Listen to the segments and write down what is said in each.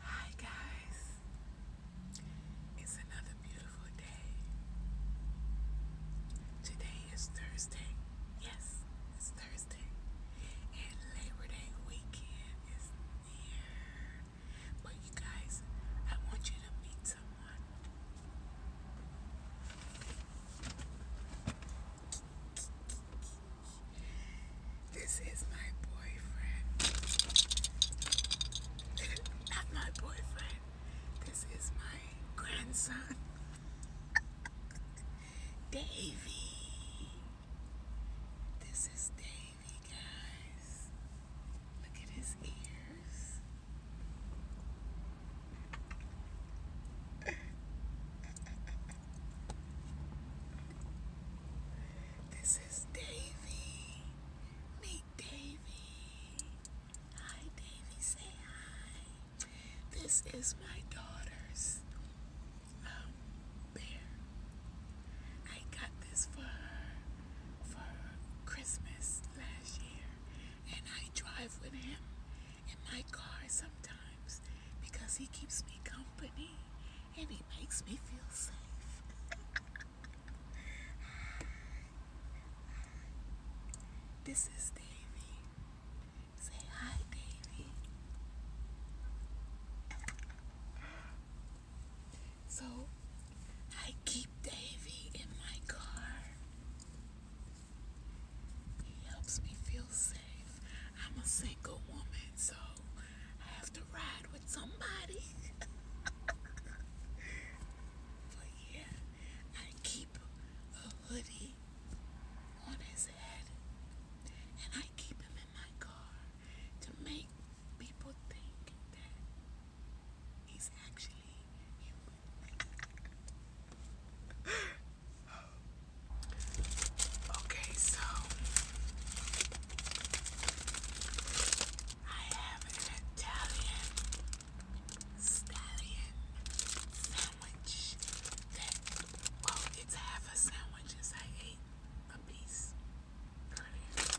Hi guys. It's another beautiful day. Today is Thursday. Yes, it's Thursday. And Labor Day weekend is near. But you guys, I want you to meet someone. This is my boyfriend. Not my boyfriend. This is my grandson. Davy. This is Davy, guys. Look at his ears. This is Davy. Meet Davy. Hi, Davy. Say hi. This is my daughter's um, bear. I got this for her for Christmas last year, and I drive with him in my car sometimes because he keeps me company and he makes me feel safe. this is Davy. Say hi, Davy. So I keep Davy in my car he helps me feel safe. I'm a single woman, so I have to ride with somebody. but yeah, I keep a hoodie on his head and I keep him in my car to make people think that he's actually human. Okay, so I have an Italian stallion sandwich well, it's half a sandwich I ate a piece earlier.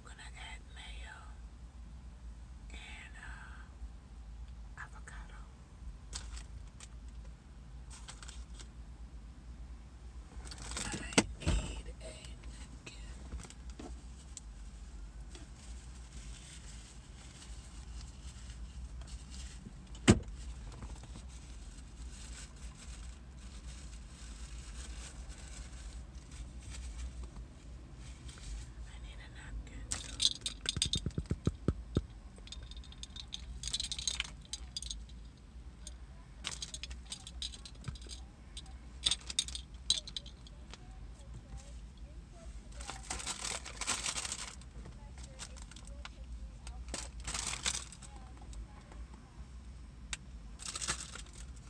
I'm gonna add mayo and uh, avocado. I need a napkin. I need a napkin.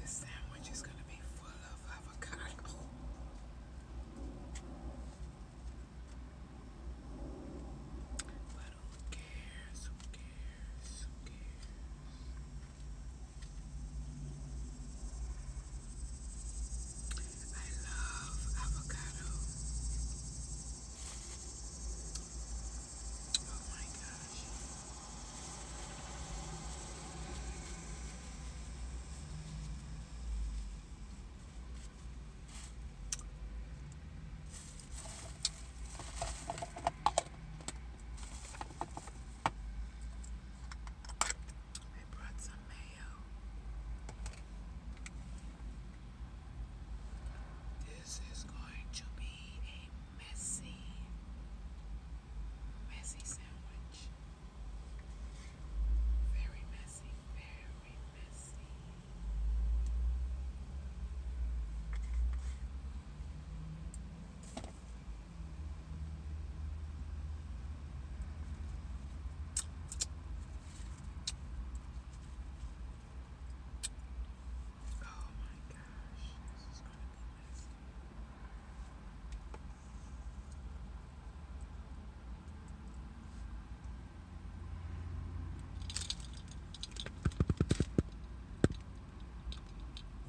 This sandwich is going to be full of avocado. who cares? Who cares? Who cares? I love avocado. Oh my gosh. I brought some mayo. This is going to be a messy, messy sandwich. Very messy, very messy. Oh my gosh, this is going to be messy.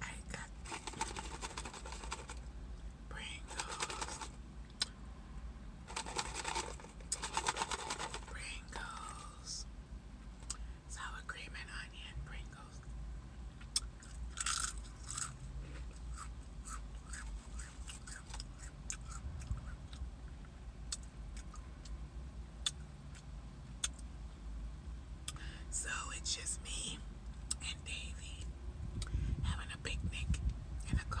I got Pringles. Pringles sour cream and onion Pringles. So it's just me and Davey having a picnic in the car.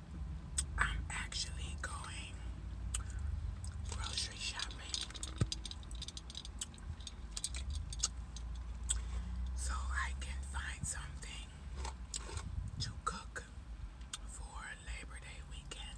I'm actually going grocery shopping. So I can find something to cook for Labor Day weekend.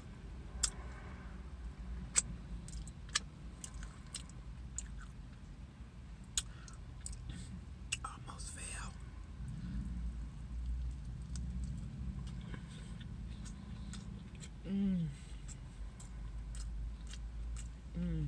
Almost fell. Mmm. Mmm.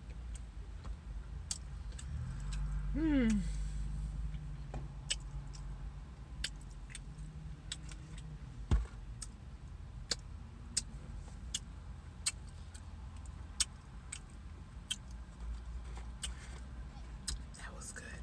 Hmm. That was good.